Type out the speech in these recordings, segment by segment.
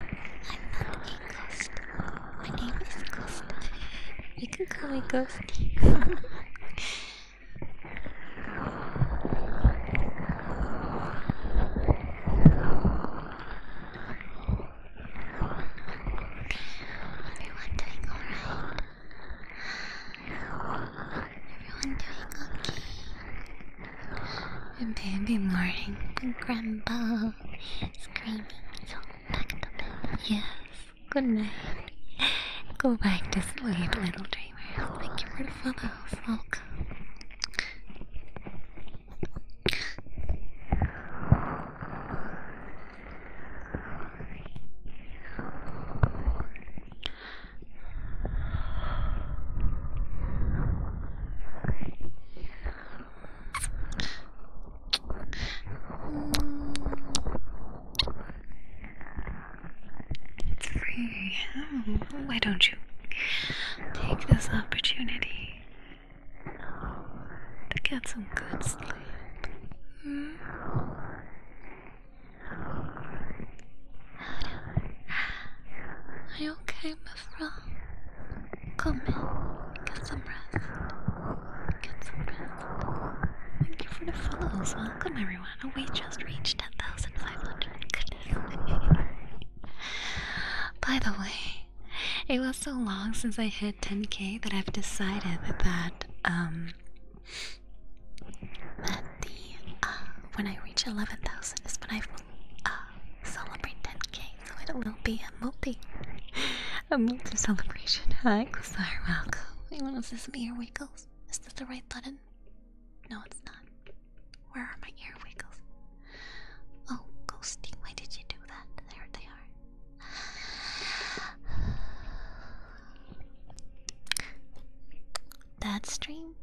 I'm not a ghost. My name is Ghosta. You can call me Ghosty. Everyone doing alright? Everyone doing okay? And morning, grandpa screaming. So back Yes. Good night. Go back to sleep, little dreamer. Thank you for the follows. Welcome. It's free. Oh, why don't you take this opportunity to get some good sleep? Hmm? Are you okay, Come in, get some rest. Get some rest. Thank you for the follows. Welcome, everyone. we just reached 10,500. Goodness. By the way, it was so long since I hit 10k that I've decided that, um, that the, uh, when I reach 11,000 is when I uh, celebrate 10k, so it will be a multi, a multi celebration. Hi, Quasar, welcome. Wait, what is this? My ear wiggles? Is this the right button? No, it's not. Where are my earwiggles? Oh, ghosting. Why did you do that? There they are. That stream?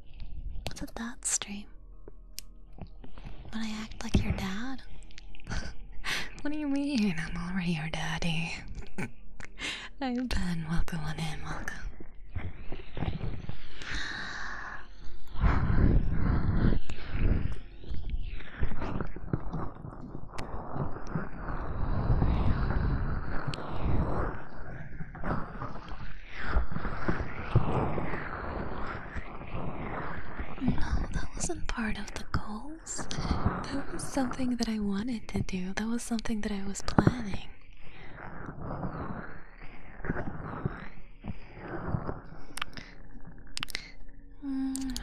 What's a that stream? When I act like your dad? what do you mean? I'm already your daddy. Hey Ben, welcome on in, welcome. No, that wasn't part of the goals. That was something that I wanted to do. That was something that I was planning. Mm.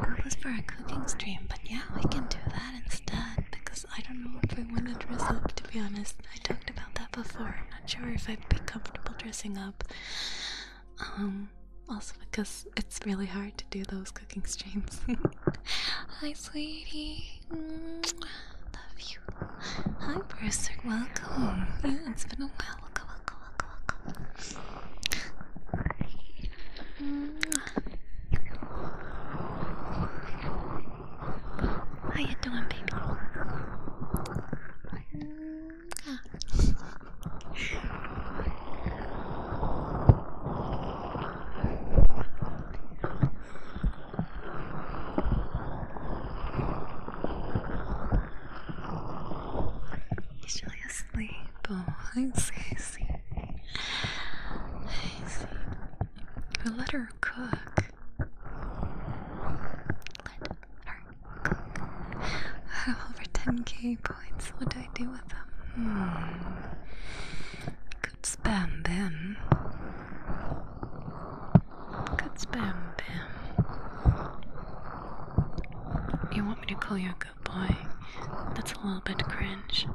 That was for a cooking stream, but yeah, we can do that because I don't know if I want to dress up to be honest. I talked about that before. I'm not sure if I'd be comfortable dressing up. Um, also because it's really hard to do those cooking streams. Hi sweetie. Love you. Hi Brewster, welcome. Yeah, it's been a while. Welcome, welcome, welcome, welcome. How you doing, baby? He's really asleep. Oh, I see. I let her cook. I have over 10k points. What do I do with them? Hmm. Could spam them. Could spam them. You want me to call your girl? boy, that's a little bit cringe.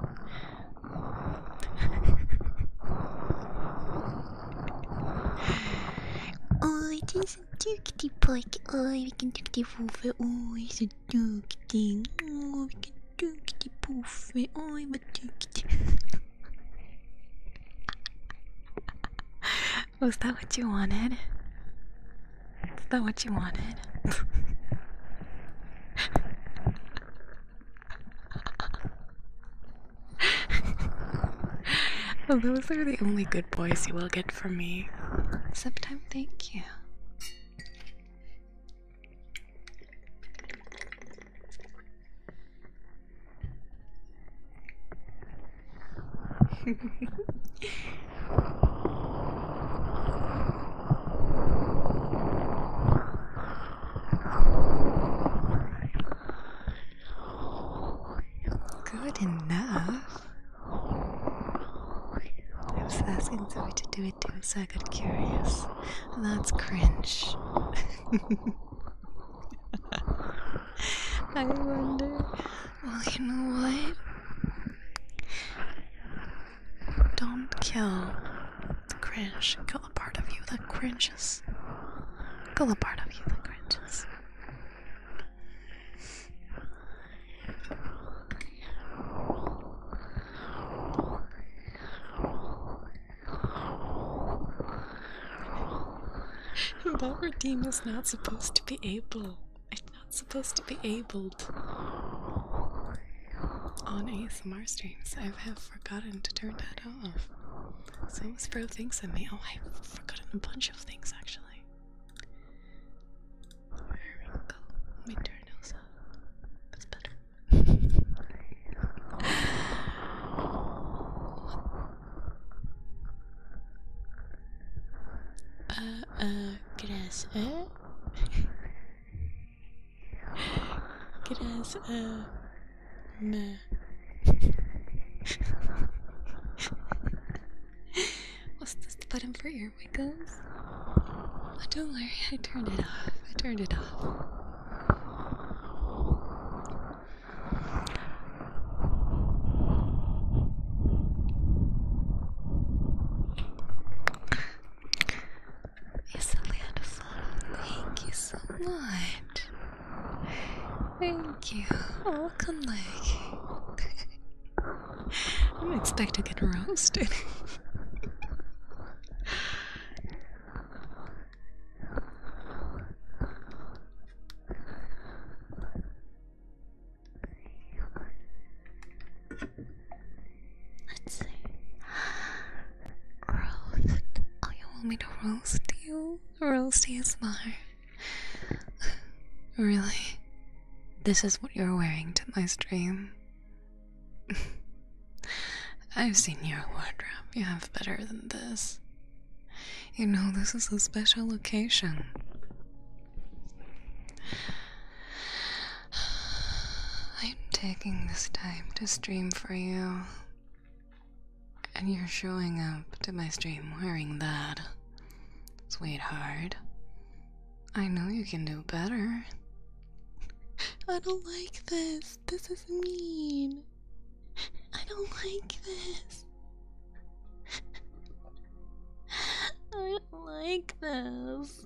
oh, it is a dukty bike. Oh, we can dukty poof it. Oh, it's a dukty. Oh, we can dukty poof it. Oh, I'm a dukty. Was that what you wanted? Is that what you wanted? Those are the only good boys you will get from me. Septime, thank you. Good enough. I was asking Zoe to do it too, so I got curious. That's cringe. I wonder. Well, you know what? Don't kill the cringe. Kill a part of you that cringes. Kill a part of you that cringes. But redeem is not supposed to be able. It's not supposed to be able on ASMR streams. I have forgotten to turn that off. So, as Bro thinks of me. Oh, I've forgotten a bunch of things actually. There we go. Let me turn those off. That's better. uh, uh, Good as a meh. What's this button for ear wiggles? Oh, don't worry, I turned it off. I turned it off. It's wonderful. Thank you so much. Thank you. Welcome, like. I didn't expect to get roasted. Let's see. Roast. Oh, you want me to roast you? Roast ASMR. really? This is what you're wearing to my stream? I've seen your wardrobe. You have better than this. You know, this is a special occasion. I'm taking this time to stream for you. And you're showing up to my stream wearing that. Sweetheart. I know you can do better. I don't like this. This is mean. I don't like this. I don't like this.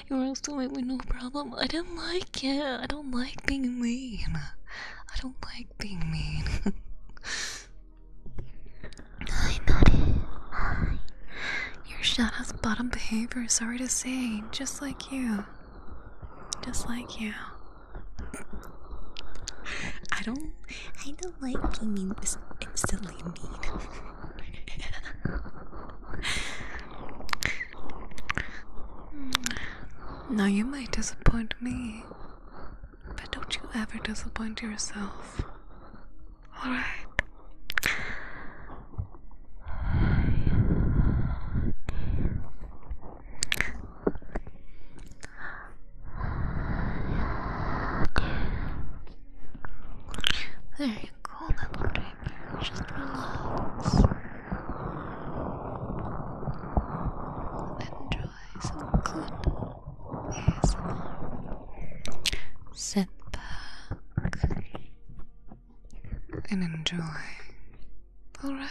You roasted also with no problem. I do not like it. I don't like being mean. I don't like being mean. I Nutty. Hi. Your shadow's bottom behavior, sorry to say. Just like you. Just like you. I don't I don't like being mean It's instantly mean. Now you might disappoint me, but don't you ever disappoint yourself. Alright. There you go, little dream. Just relax enjoy some good music, Sit back and enjoy. Alright.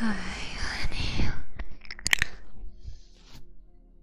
honey, hi, honey.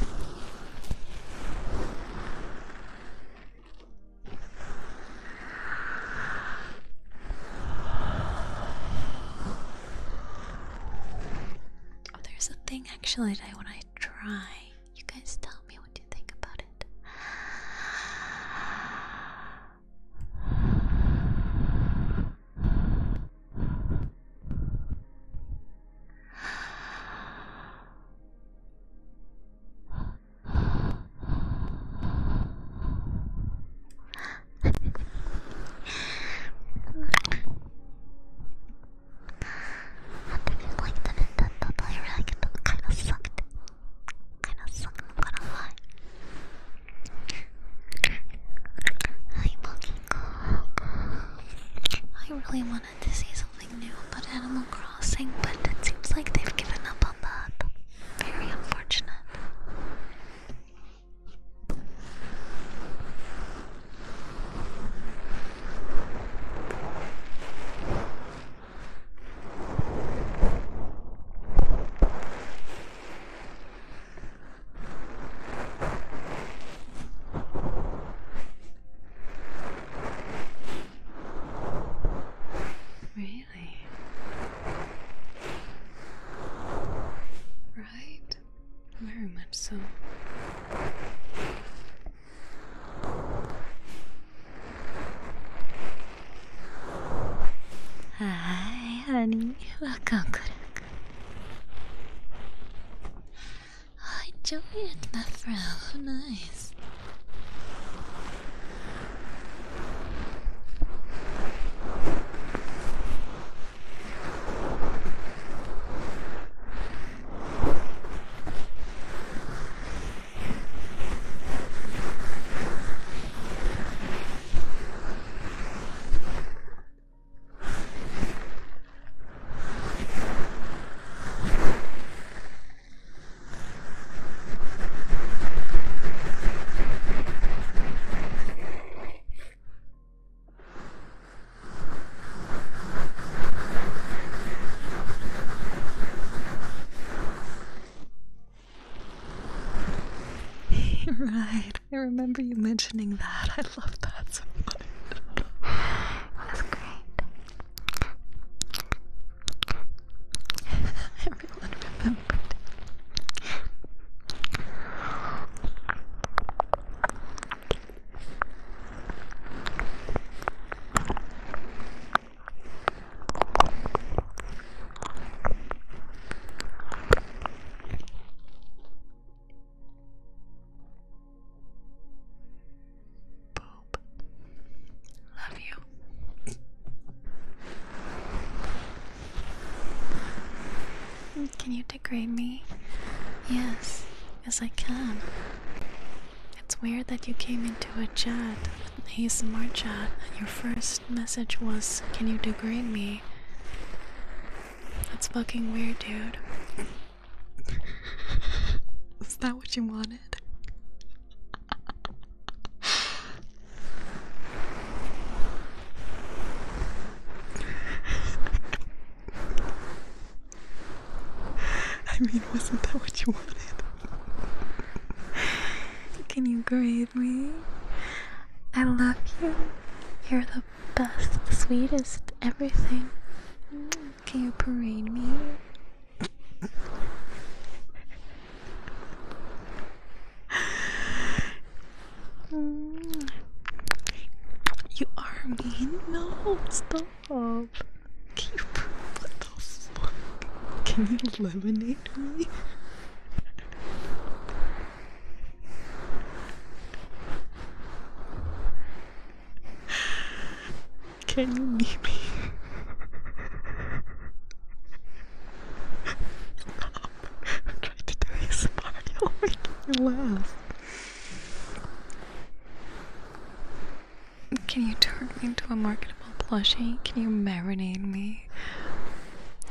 Oh, there's a thing actually that I want to try. You guys tell me what you think about it. I just like the Nintendo Direct, it kind of sucked. Kind of sucked, I'm not gonna lie. Hi, Monkey Cook. I really wanted to see something new about Animal Crossing, but it seems like they've given up on that. Very unfortunate. Really? Right? Very much so. Hi, honey. Welcome, Kurak. I enjoy it, Methra. nice right, I remember you mentioning that. I love that so much. That was great. Everyone remembered. Boop. Love you. Can you degrade me? Yes, yes I can. It's weird that you came into a chat, an smart chat, and your first message was, Can you degrade me? That's fucking weird, dude. Is that what you wanted? I mean, wasn't that what you wanted? Can you grade me? I love you. You're the best, sweetest, everything. Can you parade me? You are me. No, stop. Keep. What the fuck? Can you eliminate me? Can you meet me? I'm trying to do a smile. you make me laugh. Can you turn me into a marketable plushie? Can you marinate me?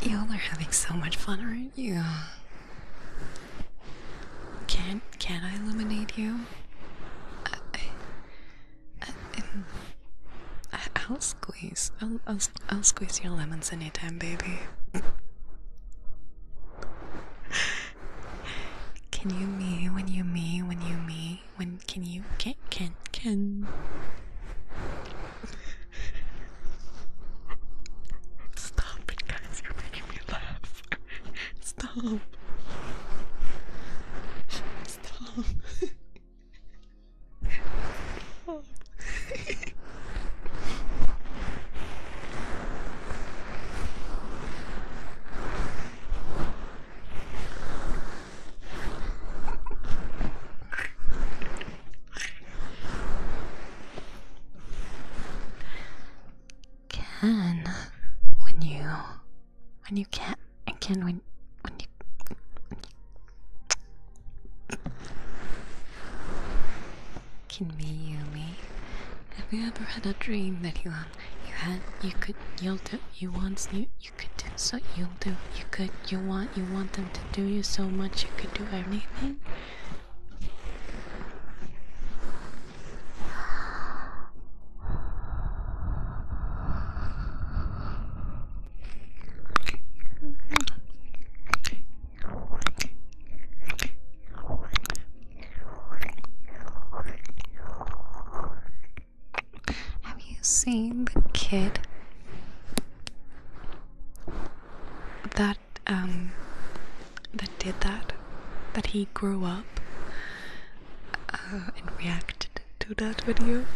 Y'all are having so much fun, aren't you? Can can I illuminate you? I, I, I, will squeeze. I'll, I'll I'll squeeze your lemons anytime, baby. Can you me when you me when you me when can you can can can Stop it guys, you're making me laugh. Stop. Stop. Stop can when you when you can and can when when you, when you can be you me. Have you ever had a dream that you um, you had you could you'll do you want you you could do so you'll do you could you want you want them to do you so much you could do anything? Have you seen the kid that um that did that? that he grew up uh, and reacted to that video.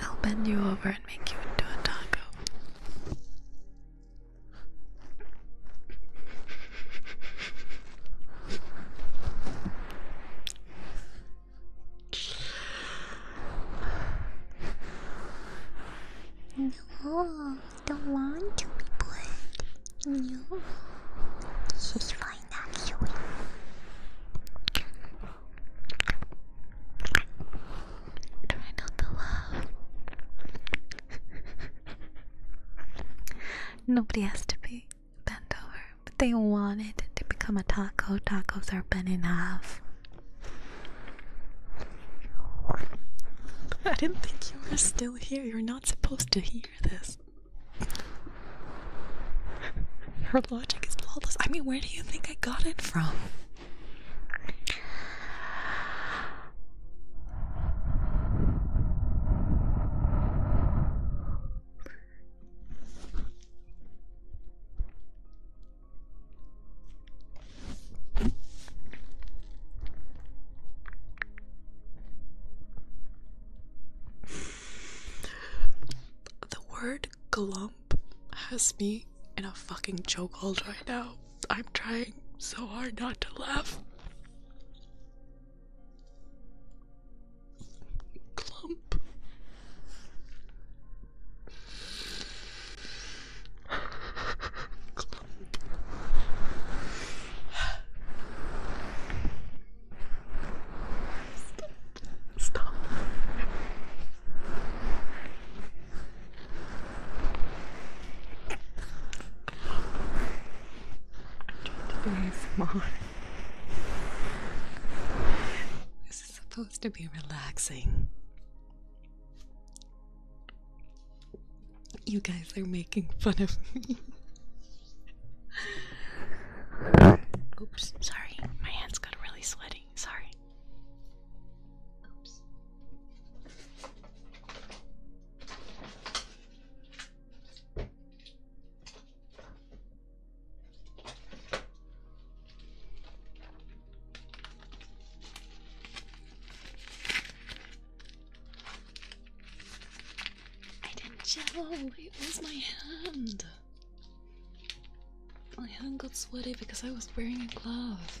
I'll bend you over and make you into a taco. No, don't want to be no. She's fine actually. Try not to laugh. Nobody has to be bent over, but they wanted to become a taco. Tacos are bent in half. I didn't think you were still here. You're not supposed to hear this. Her logic is flawless. I mean, where do you think I got it from? The word glump has me in a fucking chokehold right now. I'm trying so hard not to laugh. Glump. Stop. I'm trying This is supposed to be relaxing. You guys are making fun of me. Oops, sorry. My hands got really sweaty. Sorry. I didn't gel, it was my hand. My hand got sweaty because I was wearing a glove.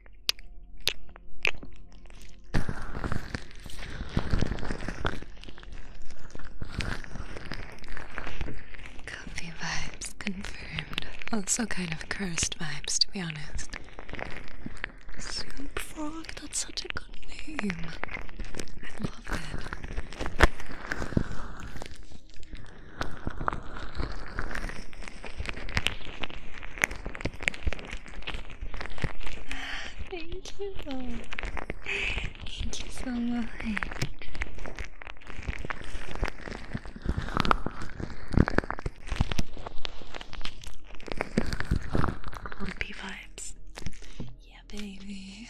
Coffee vibes confirmed. Also, kind of cursed vibes, to be honest. Soup frog, that's such a good name. I love it. Thank you. Thank you so much. Lumpy vibes. Yeah, baby.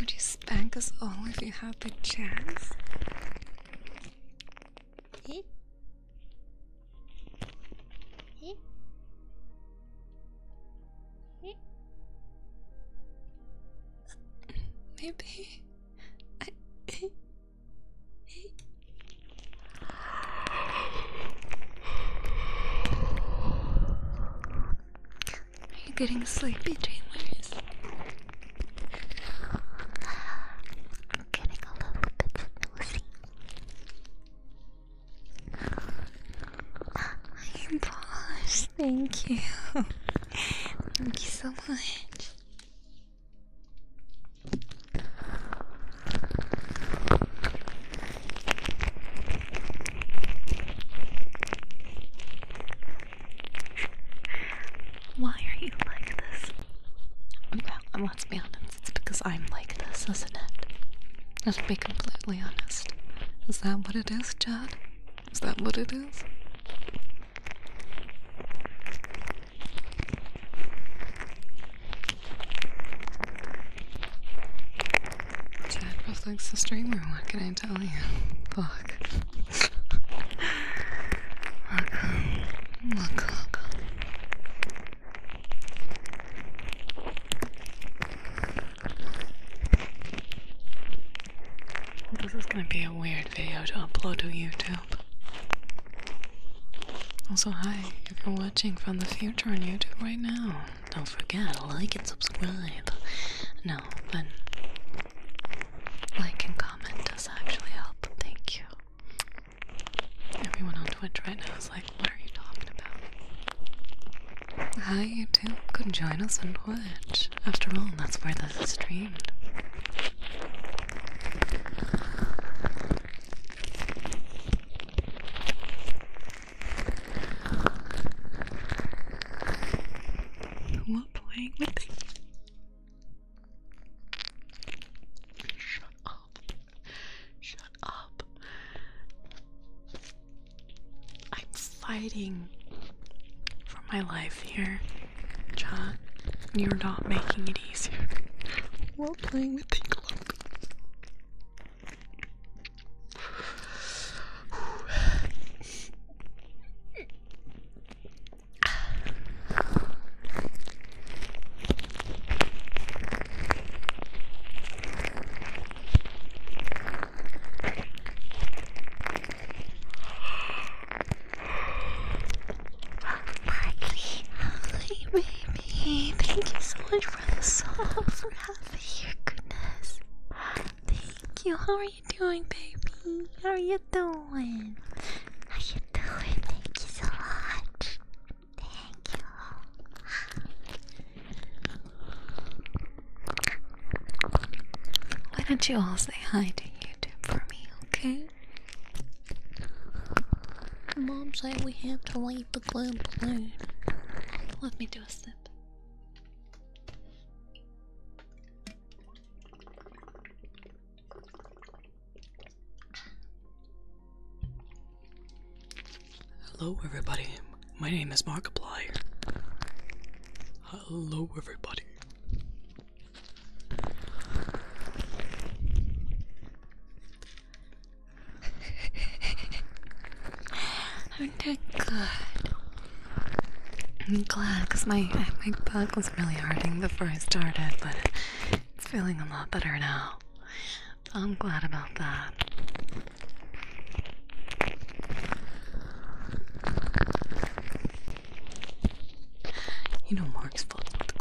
Would you spank us all if you had the chance? Hey. Hey. Hey. Maybe I are you getting sleepy, dreamers? I'm getting a little bit nosy. I am polished, thank you. thank you so much. Why are you like this? Well, let's be honest, it's because I'm like this, isn't it? Let's be completely honest. Is that what it is, Chad? Is that what it is? Chad Bufflin's the streamer, what can I tell you? Fuck. Look, look, This is gonna be a weird video to upload to YouTube. Also, hi, you're watching from the future on YouTube right now. Don't forget, to like and subscribe. No, but like and comment does actually help. Thank you. Everyone on Twitch right now is like, what are you talking about? Hi, you too. Could join us on Twitch. After all, that's where this is what playing with it? Shut up. Shut up. I'm fighting for my life here, John. You're not making it easier. We're playing with the cloak hi baby. Thank you so much for the song. Rafa, goodness. Thank you. How are you doing, baby? How are you doing? How are you doing? Thank you so much. Thank you. Why don't you all say hi to YouTube for me, okay? Mom said we have to leave the glue balloon. Let me do a sip. Hello, everybody. My name is Markiplier. Hello, everybody. Aren't I I'm glad because my, my back was really hurting before I started, but it's feeling a lot better now. I'm glad about that. You know Mark's fault with the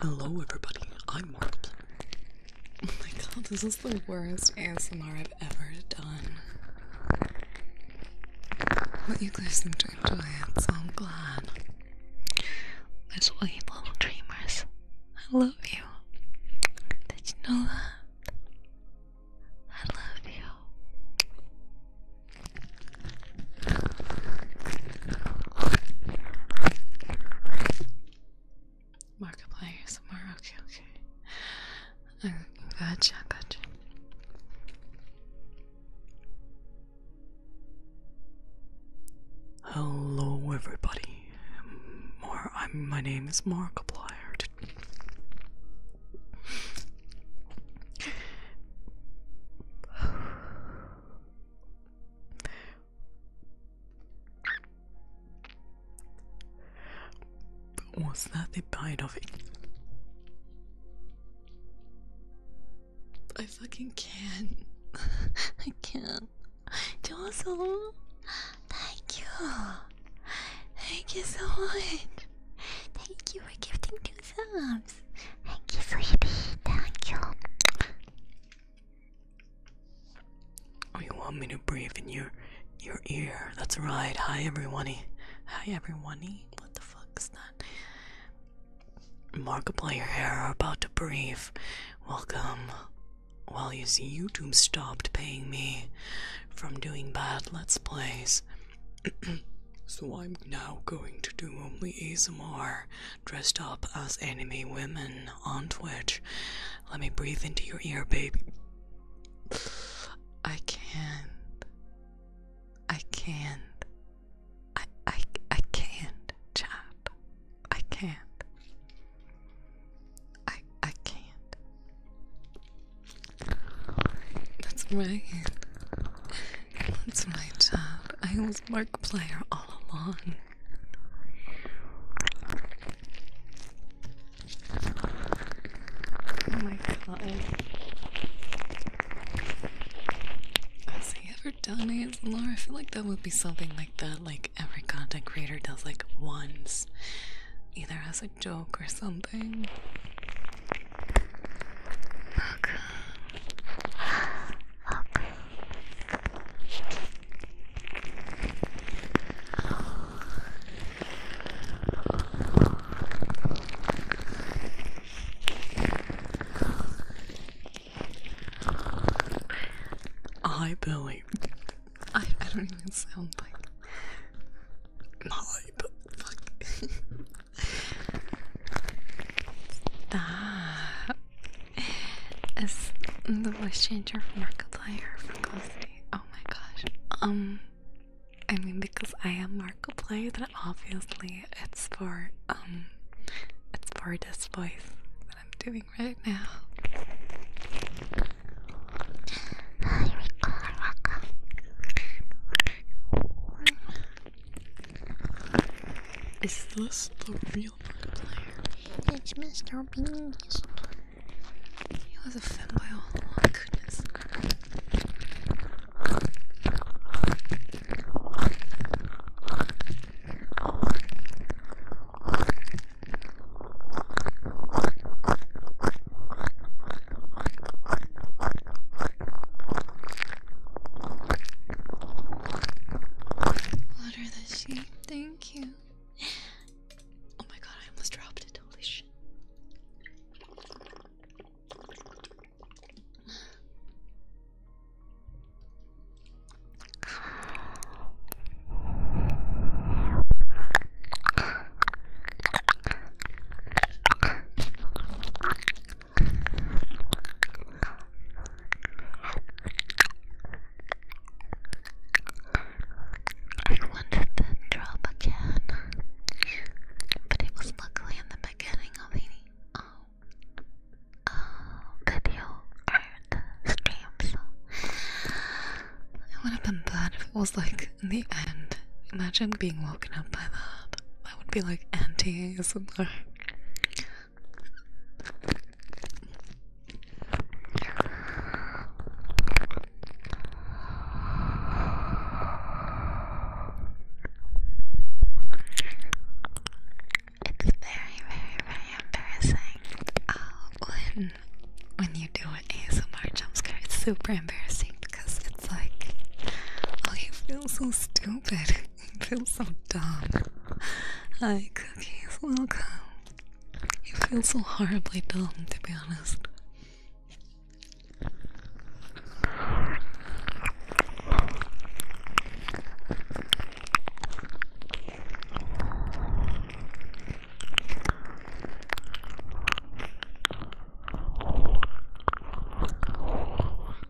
Hello, everybody. I'm Markiplier. Oh my god, this is the worst ASMR I've ever done. But you guys seem to enjoy it, so I'm glad. There's way little dreamers. I love you. Did you know that? I love you. Markiplier somewhere. Okay, okay. Uh, gotcha, gotcha. Hello, everybody. More, I'm. My name is Markiplier. Was that the bite of it? I fucking can't. I can't. Jocelyn, thank you. Thank you so much. Thank you for gifting to subs. Thank you, sweetie. Thank you. Oh, you want me to breathe in your your ear? That's right. Hi, everyone. Hi, everyone. What the fuck's that? Markiplier hair are about to breathe. Welcome. While you see, YouTube stopped paying me from doing bad Let's Plays so I'm now going to do only ASMR dressed up as enemy women on Twitch. Let me breathe into your ear, baby. I can't. I can't. I I I can't, chat. I can't. I I can't. That's right. That's my job. I was mark player all along. Oh my god. Has he ever done ASMR? I feel like that would be something like that, like every content creator does like once. Either as a joke or something. I believe I I don't even sound like my but Stop. the voice changer for Markiplier for Closey? Oh my gosh. Um, I mean, because I am Markiplier, then obviously it's for, um, it's for this voice that I'm doing right now. Is this the real player? It's Mr. Beast. He was a fanboy all along, oh, goodness. Water the sheep, thank you. Oh my god, I almost dropped it, holy shit. I wanted to drop again, but it was luckily in the beginning of the oh, oh, video or the stream, would have been bad if it was like in the end. Imagine being woken up by that. That would be like anti ASMR. It's very, very, very embarrassing. Uh, when when you do an ASMR jump scare, it's super embarrassing because it's like, oh, you feel so stupid. I feel so dumb. Hi, cookies. Welcome. You feel so horribly dumb, to be honest.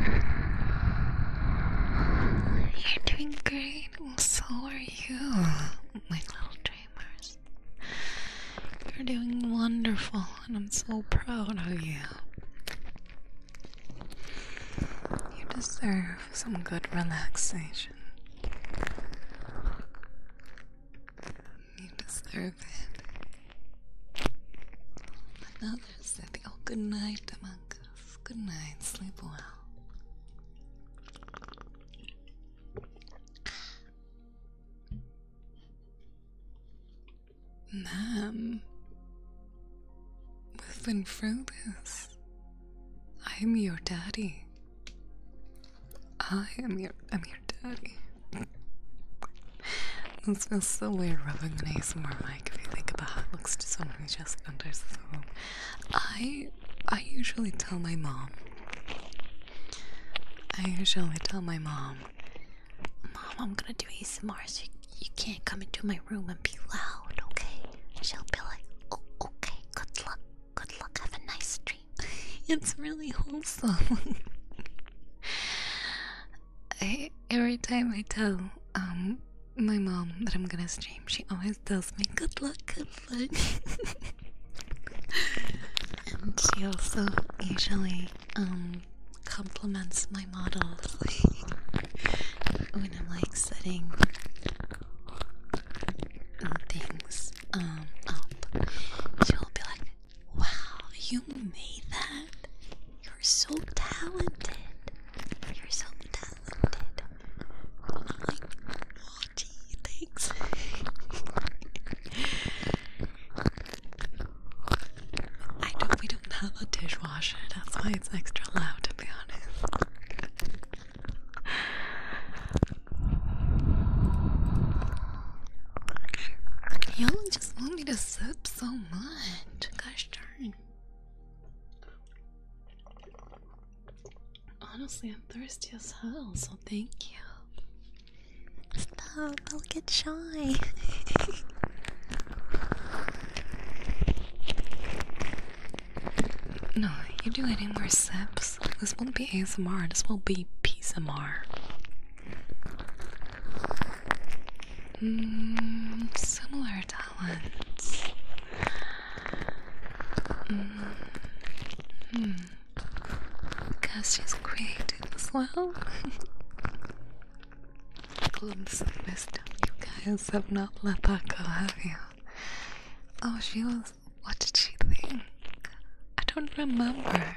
You're doing great, and so are you, my little dreamers. You're doing wonderful, and I'm so proud of you. You deserve some good relaxation. You deserve it. Another said, Oh, good night among Good night, sleep well. Ma'am, we've been through this. I'm your daddy. I am your I'm your daddy. This feels so weird rubbing an ASMR mic if you think about it looks to someone who just enters the room. I I usually tell my mom. I usually tell my mom, Mom, I'm gonna do ASMR so you, you can't come into my room and be loud, okay? She'll be like, Oh, okay, good luck, good luck, have a nice dream. it's really wholesome. I, every time I tell um my mom that I'm gonna stream, she always tells me good luck, good luck. and she also usually um compliments my models when I'm like setting things um up. She'll be like, Wow, you made that? You're so talented. You're so talented. Oh my god, thanks. I know we don't have a dishwasher, that's why it's extra loud to be honest. Y'all just want me to sip so much. Gosh darn. Honestly, I'm thirsty as hell, so thank you. Stop, I'll get shy. no, you do any more sips. This won't be ASMR, this will be PSMR. Mm, similar talents. Mm, hmm. Guess she's creative as well. Glimpse of wisdom. You guys have not let that go, have you? Oh, she was. What did she think? I don't remember.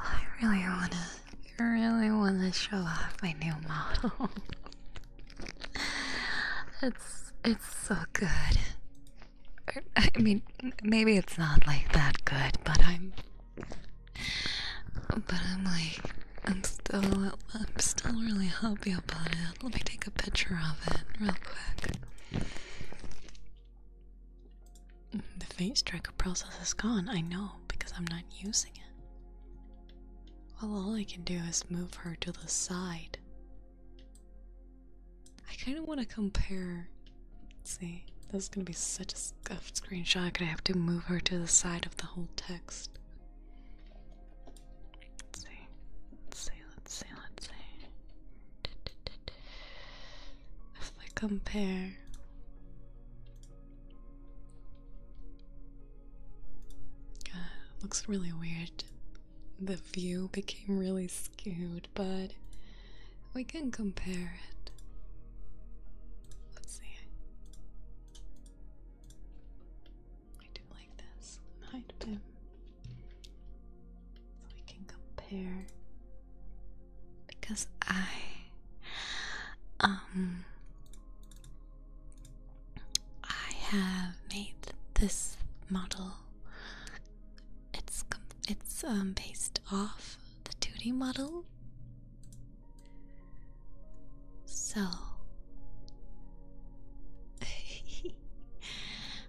I really wanna, really wanna show off my new model. it's it's so good. I mean, maybe it's not like that good, but I'm, but I'm like I'm still, I'm still really happy about it. Let me take a picture of it real quick. The face tracker process is gone, I know, because I'm not using it. Well, all I can do is move her to the side. I kind of want to compare. Let's see, this is going to be such a scuffed screenshot. I could have to move her to the side of the whole text. Let's see. Let's see, let's see, let's see. If I compare uh, looks really weird. The view became really skewed, but we can compare it. Let's see. I do like this hide bin. So we can compare because I um I have made this model it's it's um, based off the 2D model so,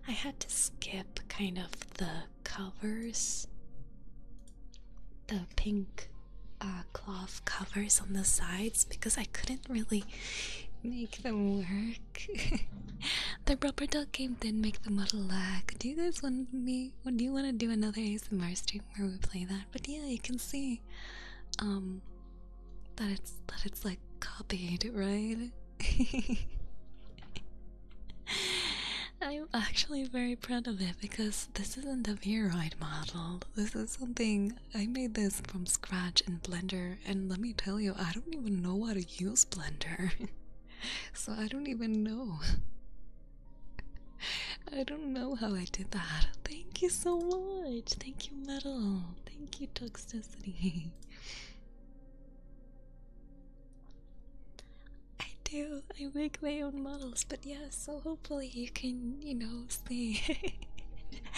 I had to skip kind of the covers, the pink uh, cloth covers on the sides because I couldn't really make them work. the rubber duck game didn't make the model lag. Do you guys want me? Do you want to do another ASMR stream where we play that? But yeah, you can see. Um, that it's that it's like copied, right? I'm actually very proud of it because this isn't a Veroid model. This is something I made this from scratch in Blender, and let me tell you, I don't even know how to use Blender, so I don't even know. I don't know how I did that. Thank you so much. Thank you, Metal. Thank you, Toxicity. I do. I make my own models, but yeah, so hopefully you can, you know, see.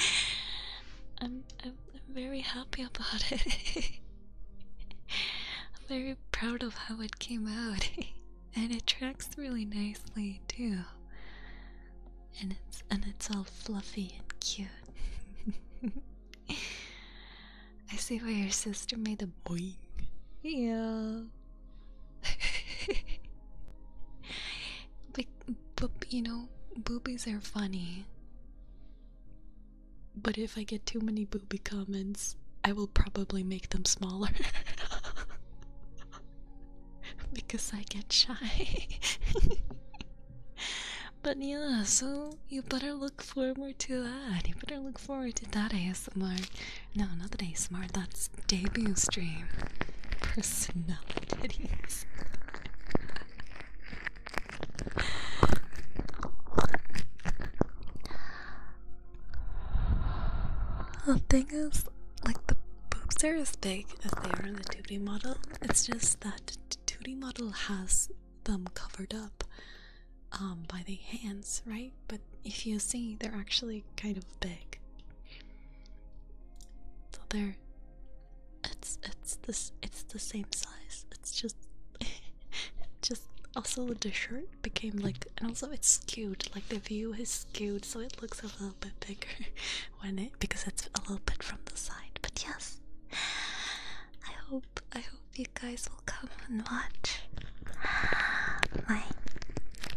I'm, I'm, I'm very happy about it. I'm very proud of how it came out, and it tracks really nicely too and it's and it's all fluffy and cute. I see why your sister made a boing. Yeah. Like, you know, boobies are funny. But if I get too many booby comments, I will probably make them smaller. because I get shy. but yeah, so you better look forward to that. You better look forward to that ASMR. No, not that ASMR, that's debut stream. personality. The thing is, like the boobs are as big as they are in the 2D model. It's just that the 2D model has them covered up um, by the hands, right? But if you see, they're actually kind of big. So they're it's it's this it's the same size. It's just just also the shirt became like and also it's skewed like the view is skewed so it looks a little bit bigger Eh? because it's a little bit from the side. But yes, I hope I hope you guys will come and watch my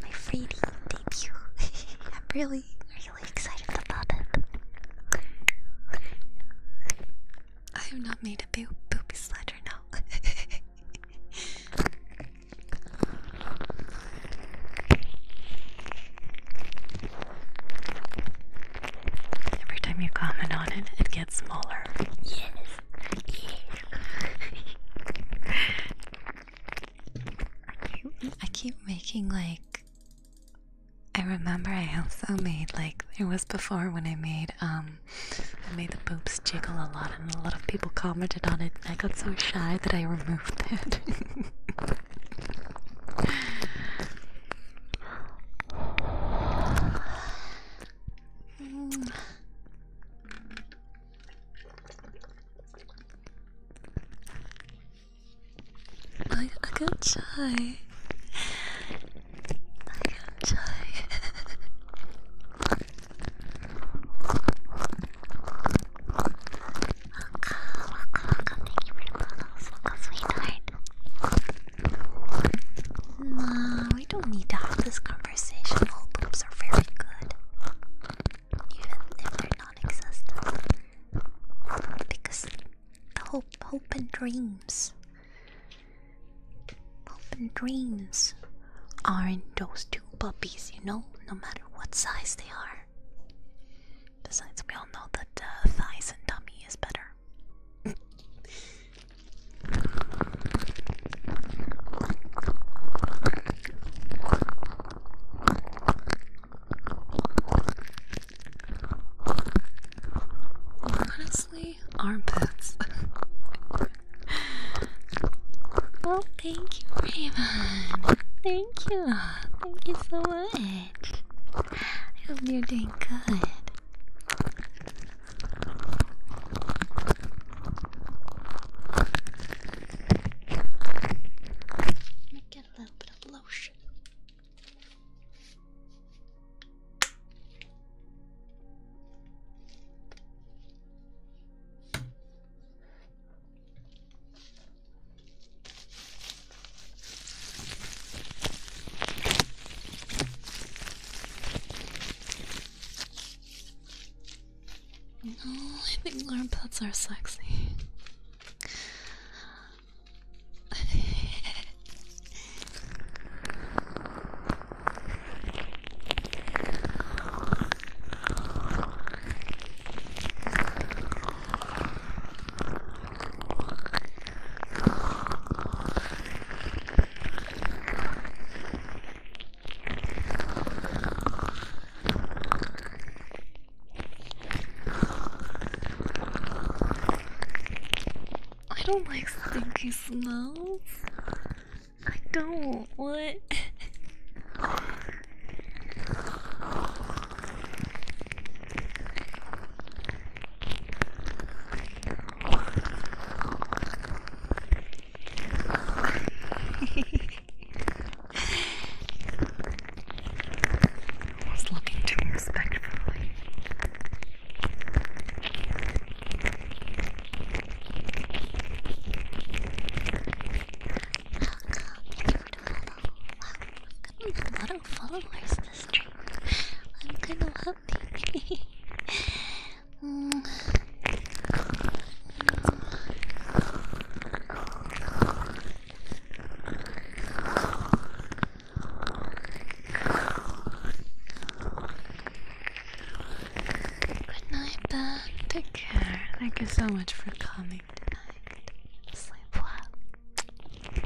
my 3D debut. I'm really really excited about it. I have not made a boo booby slider now. Every time you comment on it, it gets smaller. Yes. yes. I, keep, making like. I remember I also made like it was before when I made um I made the boobs jiggle a lot and a lot of people commented on it and I got so shy that I removed it. I, I got shy. I got shy. Welcome, welcome, welcome. Thank you for the models. Welcome, sweetheart. Nah, we don't need to have this conversation. All boobs are very good. Even if they're non existent. Because hope, hope and dreams. Hope and dreams aren't those two puppies, you know, no matter what size they are. Besides, we all know that uh, thighs and tummy is better. Honestly, armpits. oh, thank you, Raven. Thank you. Thank you so much. I hope you're doing good. Let me get a little bit of lotion. No, I think armpits are sexy. I don't like stinky smells. I don't. What? I was looking to me respectfully. How I've got a lot of followers this stream. I'm kind of happy. Good night, Beth. Take care. Thank you so much for coming morning, night. Sleep well.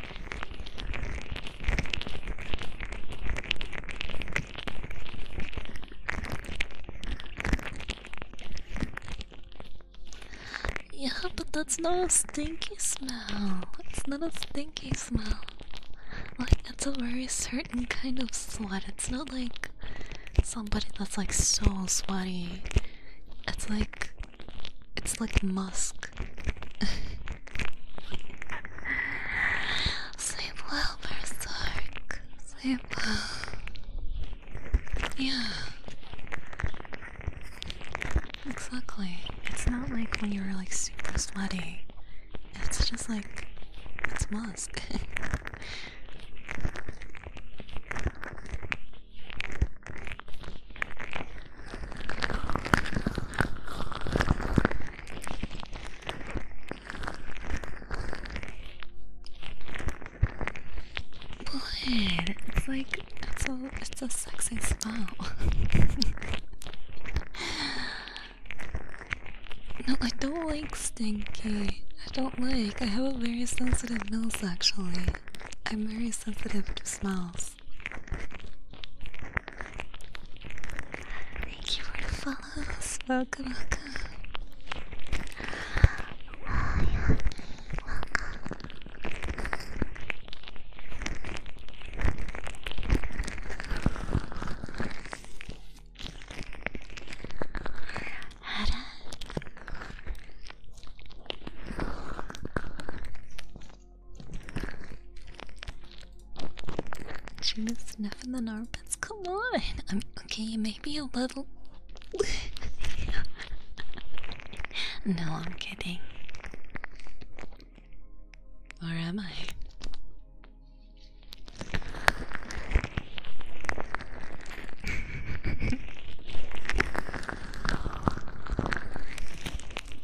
Yeah, but that's not a stinky smell. It's not a stinky smell. Like, it's a very certain kind of sweat. It's not like somebody that's like so sweaty. It's like it's like musk. Sleep well, Berserk. Sleep Yeah. Exactly. It's not like when you're like super sweaty. It's just like it's musk. What? It's like it's a it's a sexy smile. no, I don't like stinky. I don't like. I have a very sensitive nose actually. I'm very sensitive to smells. Thank you for the follows. Welcome, welcome. Welcome. Ada should sniffing the armpits. Come on. okay. Maybe a little. no, I'm kidding. Or am I?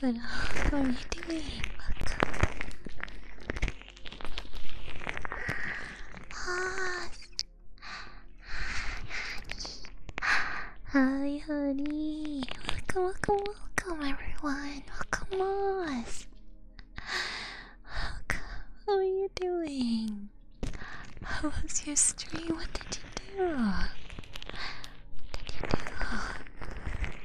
Good luck, are you doing? Pause. Hi, honey. Welcome, welcome, welcome, everyone. Welcome, Moss. Welcome. How are you doing? How was your stream? What did what did you do?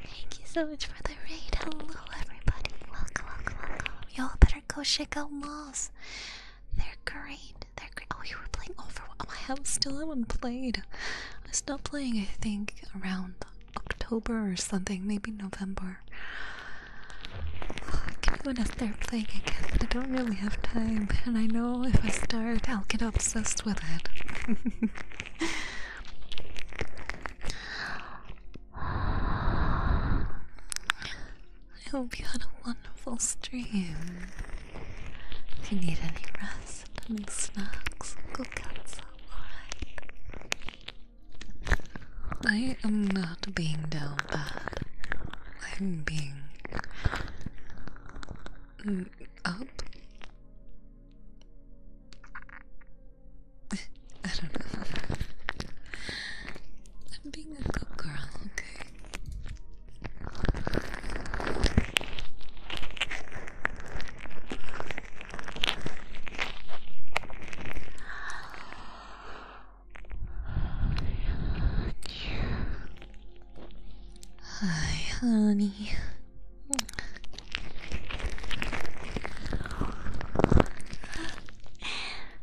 Thank you so much for the raid. Hello, everybody. Welcome, welcome, Y'all better go check out Moss. They're great. They're great. Oh, you were playing Overwatch. I have still haven't played. I stopped playing, I think, around October or something. Maybe November. Can you want to start playing again? I don't really have time, and I know if I start, I'll get up I hope you had a wonderful stream. If you need any rest and snacks, go get some, I am not being down bad. I'm being Mm, up? I don't know. I'm being a good girl, okay? Hi, honey.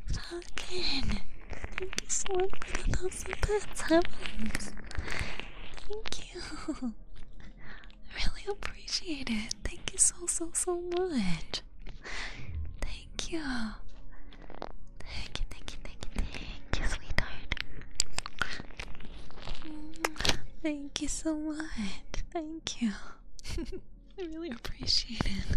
Falcon, you so much for the thousand bits. Thank you. Really appreciate it. Thank you so, so, so much. Thank you, thank you, thank you, thank you, sweetheart. Thank you so much. Thank you. I really appreciate it.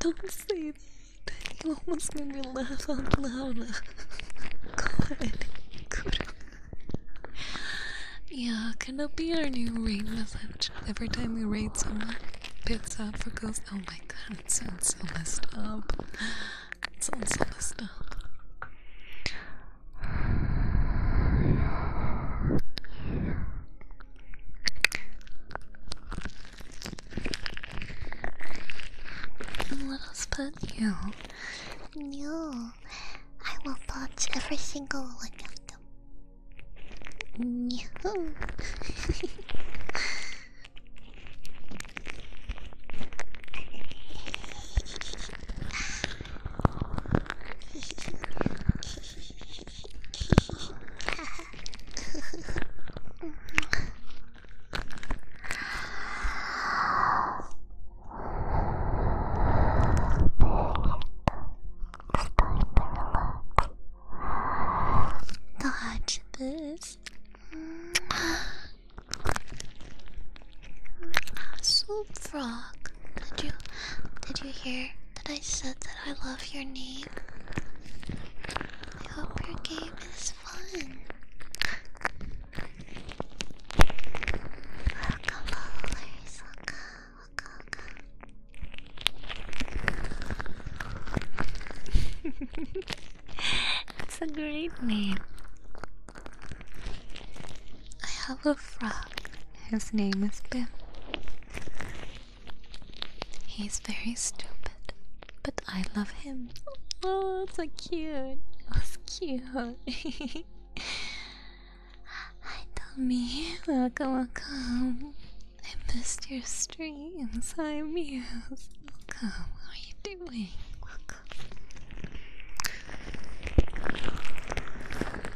Don't say that. You almost made me laugh out loud. God, good. Yeah, can that be our new raid message? Every time we raid someone, picks up for goes. Oh my god, it sounds so messed up. It sounds so messed up. Let us pet you. No, I will touch every single one of them. No. Dodge this. Soup frog. Did you did you hear that I said that I love your name. I hope your game is fun. Waka ballers, waka, it's a great name. I have a frog. His name is Bim. He's very stupid, but I love him. Oh, so cute. That's cute. Hi, Tommy. Welcome, welcome. I missed your streams. Hi, Muse. Welcome. How are you doing? Welcome.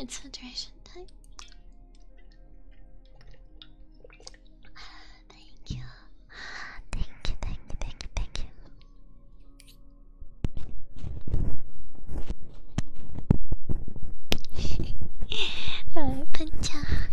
It's hydration time. Thank you. Thank you, thank you, thank you, thank Pancha.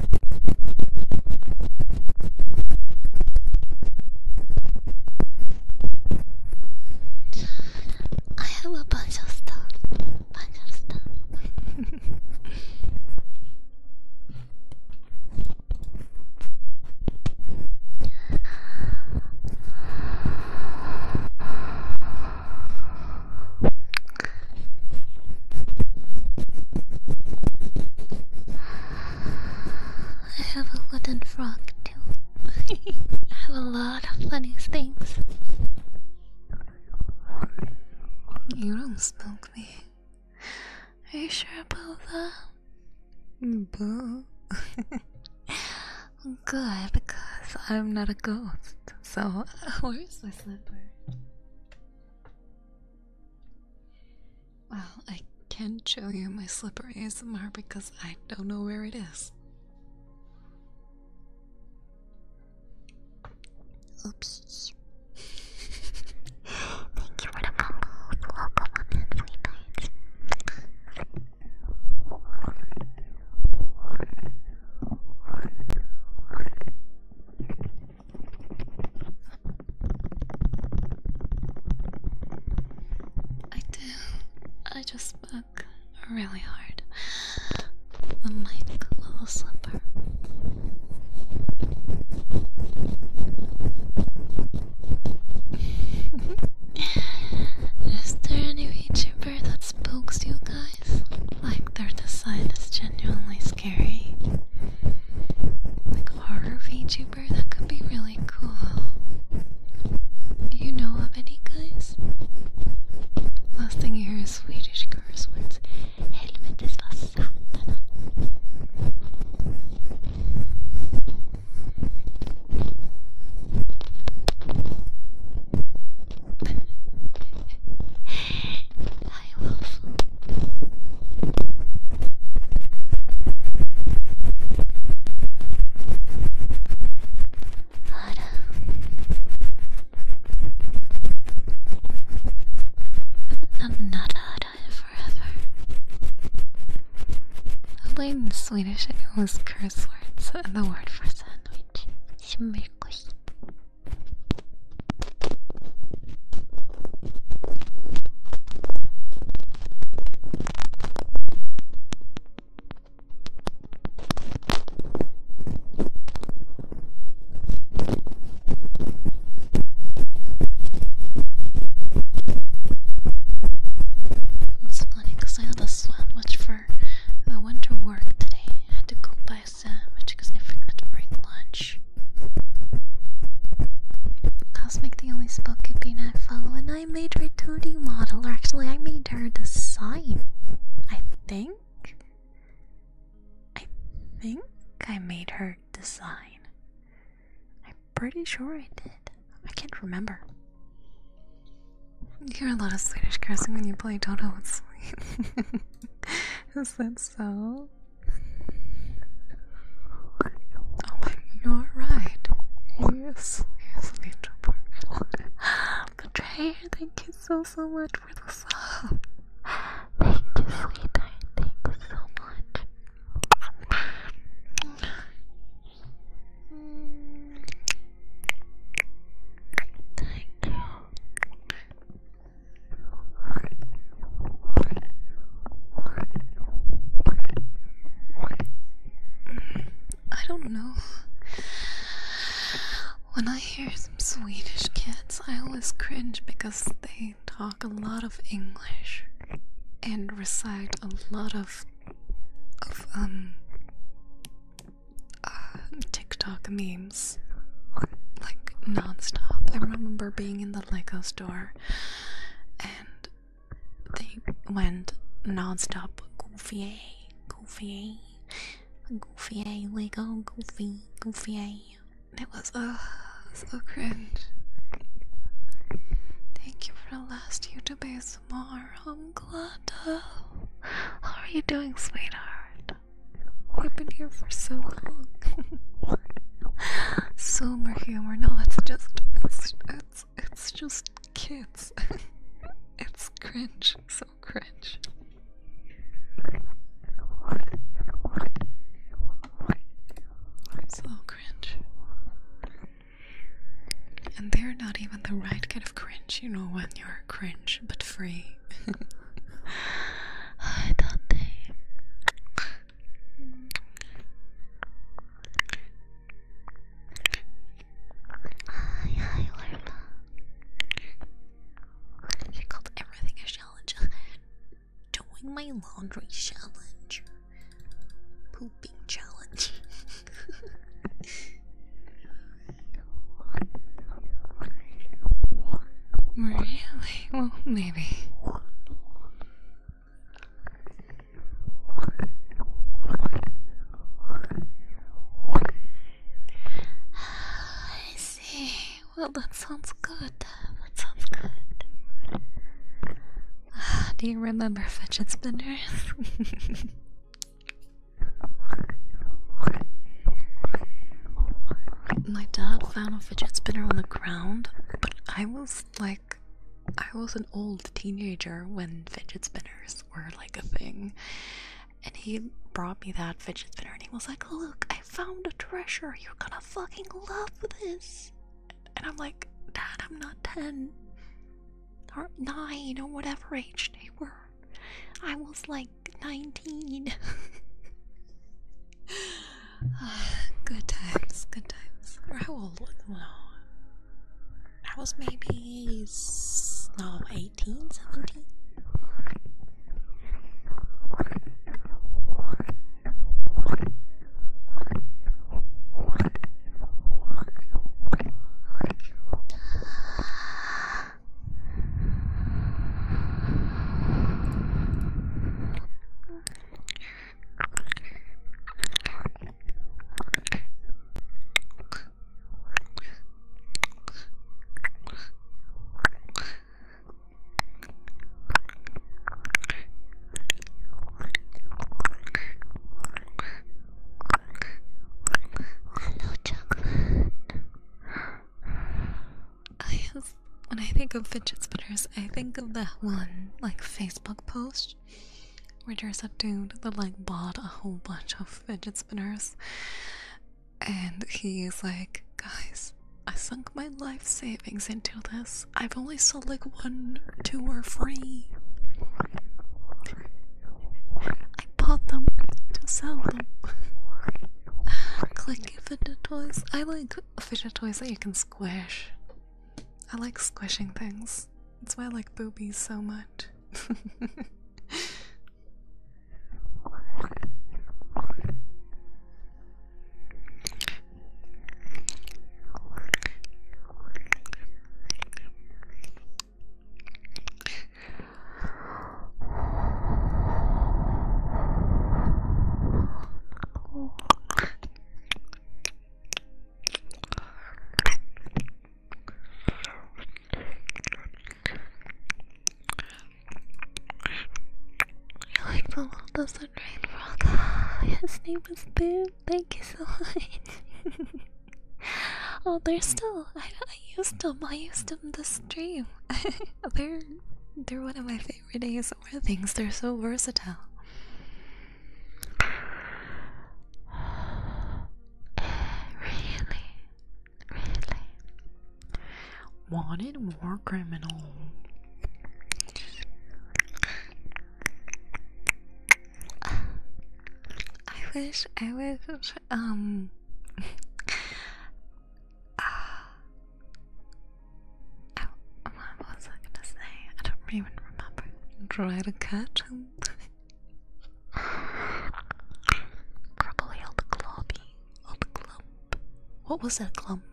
I have a bunch of stuff. Bunch of stuff. I have a wooden frog too. I have a lot of funny things. You don't smoke me. Are you sure about that? Boo. Good, because I'm not a ghost. So, where's my slipper? Well, I can't show you my slipper ASMR because I don't know where it is. Oops. Thank you for the combos. Welcome on in, sweethearts. I do. I just spoke really hard on my little slipper. Is there any VTuber that spooks you guys? Like their design is genuinely scary. Like horror VTuber, that could be really cool. Do you know of any guys? Last thing you hear is Swedish curse words. Helvetes vad あら I'm not out of forever. Late in Swedish, I use curse words and the word for sandwich. Shimmerkosh. It's funny I had a sandwich for I went to work today. I had to go buy a sandwich because I forgot to bring lunch. Cosmic, the only be I follow, and I made her 2D model. Or actually, I made her design. I think. I think I made her design. I'm pretty sure I did. I can't remember. You hear a lot of Swedish cursing when you play Toto with Sleep. Is that so? Oh you're right. Yes, yes, little bird. Betrayer, thank you so, so much for the sub. Thank you, sweetheart. Thank so much. Thank you. I don't know. When I hear some Swedish kids, I always cringe because they talk a lot of English and recite a lot of of um uh, TikTok memes like nonstop. I remember being in the Lego store they went non-stop goofy, goofy, goofy, like oh goofy, goofy. It was uh, so cringe. Thank you for the last YouTube ASMR. I'm glad. How are you doing, sweetheart? I've been here for so long. Sober humor. No, it's just it's it's it's just kids. it's cringe. So cringe. So cringe. And they're not even the right kind of cringe, you know, when you're cringe but free. I thought they Hi, hi, Lerma. She called everything a challenge. Doing my laundry challenge. Pooping challenge. really? Well, maybe. I see. Well, that sounds good. That sounds good. Do you remember fidget spinners? My dad found a fidget spinner on the ground, but I was like, I was an old teenager when fidget spinners were like a thing. And he brought me that fidget spinner and he was like, Look, I found a treasure. You're gonna fucking love this. And I'm like, Dad, I'm not 10 or 9 or whatever age they were. I was like 19. good times, good times. Or how old was no. I was maybe no 18, 17. Hello, chocolate. I when I think of fidget spinners, I think of that one, like Facebook post gosh. we a dude that like bought a whole bunch of fidget spinners. And he's like, guys, I sunk my life savings into this. I've only sold like one, two, or three. I bought them to sell them. Clicky fidget toys. I like fidget toys that you can squish. I like squishing things. That's why I like boobies so much. I like the world doesn't rain frog. His name is Boo. Thank you so much. oh, they're still. I, used them. I used them this stream. they're they're one of my favorite days where things. They're so versatile. Really, really wanted war criminal. I wish I was um. Uh, Oh, what was I gonna say? I don't even remember. Dry the curtain. Crop all the globby, all the clump. What was that clumpy?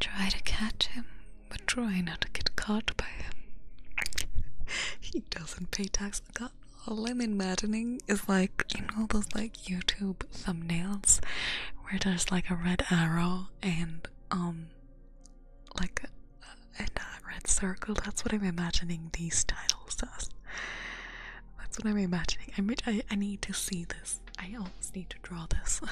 Try to catch him, but try not to get caught by him. he doesn't pay tax. Got all I'm is like, you know, those like YouTube thumbnails where there's like a red arrow and um like a, red circle that's what i'm imagining these titles as that's what i'm imagining i need to see this i almost need to draw this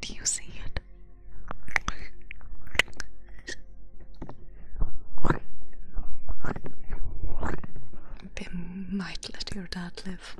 Do you see it? They might let your dad live.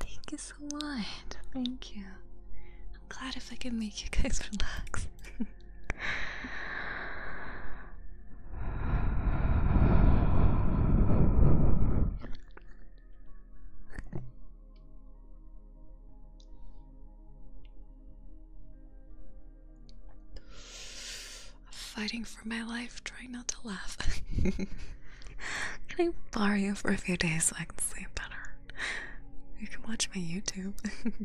Thank you so much. Thank you. I'm glad if I can make you guys relax. Fighting for my life, trying not to laugh. Can I borrow you for a few days so I can sleep better? You can watch my YouTube.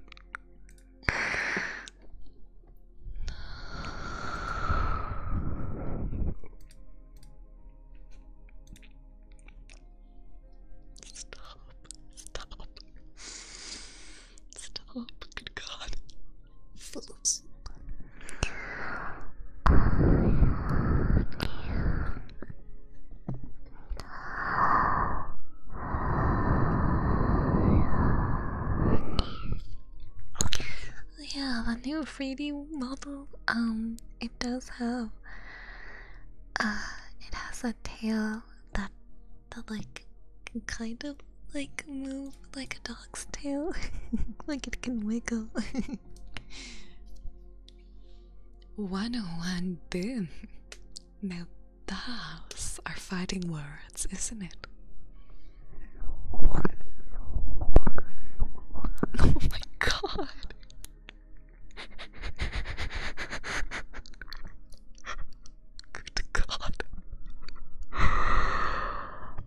Stop. Stop. Stop. Good God. Phillips. Yeah, the new 3D model. Um, it does have. Uh, it has a tail that that like can kind of like move like a dog's tail, like it can wiggle. One oh one, boom now, those are fighting words, isn't it? Oh my god. Good god.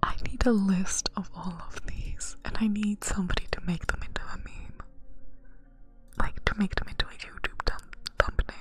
I need a list of all of these, and I need somebody to make them into a meme like to make them into a YouTube thumbnail.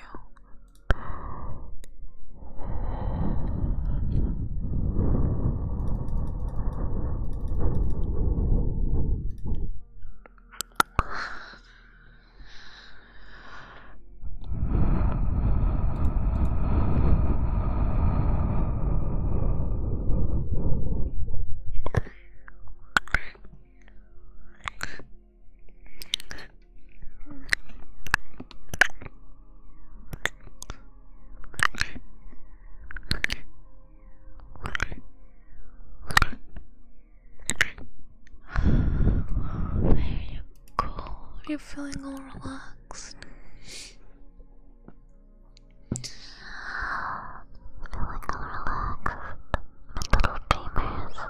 There you go. You're feeling all relaxed. Feeling relaxed. My little dreamers.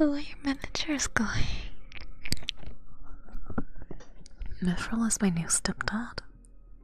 Oh, your manager is going. Mithril is my new stepdad.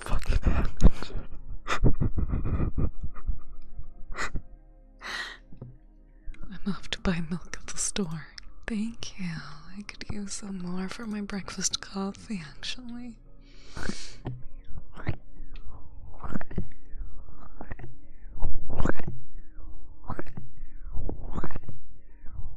Fucking happens. I'm off to buy milk at the store. Thank you. I could use some more for my breakfast coffee, actually.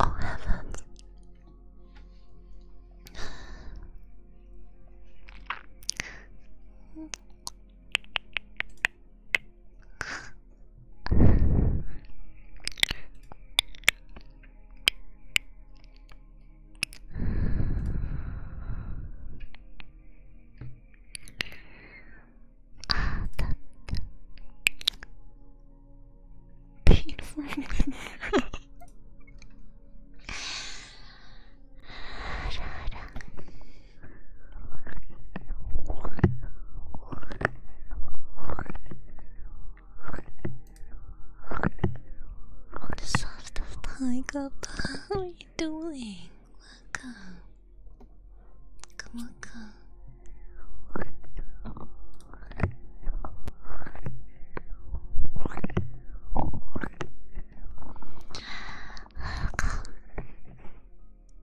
Oh heavens. Ah, that, Beautiful. The are you doing? welcome. Come welcome.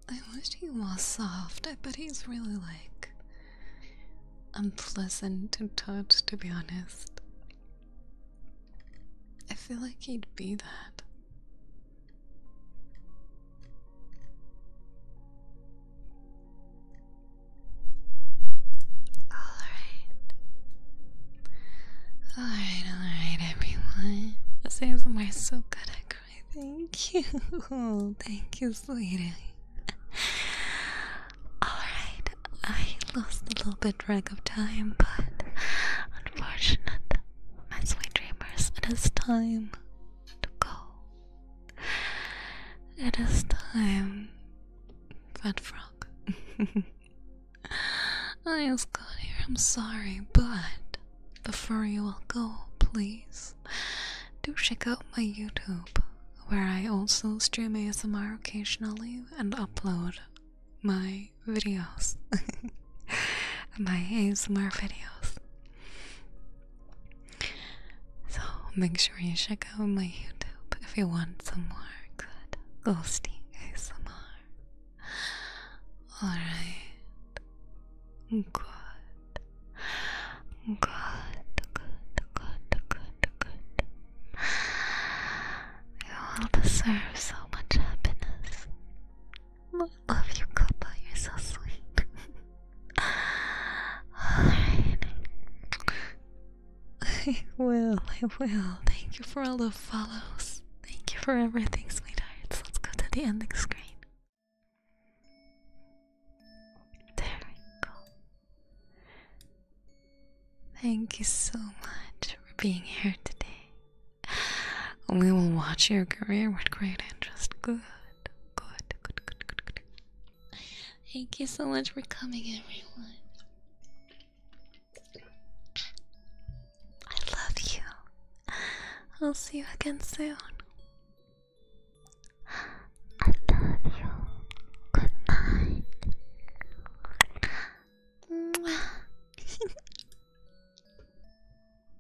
I wish he was soft. I bet he's really like unpleasant to touch, to be honest. I feel like he'd be that. Alright. Alright, alright, everyone. This is I'm so good at crying. Thank you. Thank you, sweetie. Alright, I lost a little bit track of time, but unfortunate, my sweet dreamers, it is time to go. It is time, Fat Frog. I just got here, I'm sorry, but before you all go, please do check out my YouTube, where I also stream ASMR occasionally and upload my videos. my ASMR videos. So make sure you check out my YouTube if you want some more good ghosty ASMR. Alright. Good. Good, good, good, good, good. You all deserve so much happiness. I love you, Kappa. You're so sweet. I will, I will. Thank you for all the follows. Thank you for everything, sweethearts. Let's go to the ending screen. There we go. Thank you so much for being here today. We will watch your career with great interest. Good, good, good, good, good, good. Thank you so much for coming, everyone. I love you. I'll see you again soon. I love you. Good night.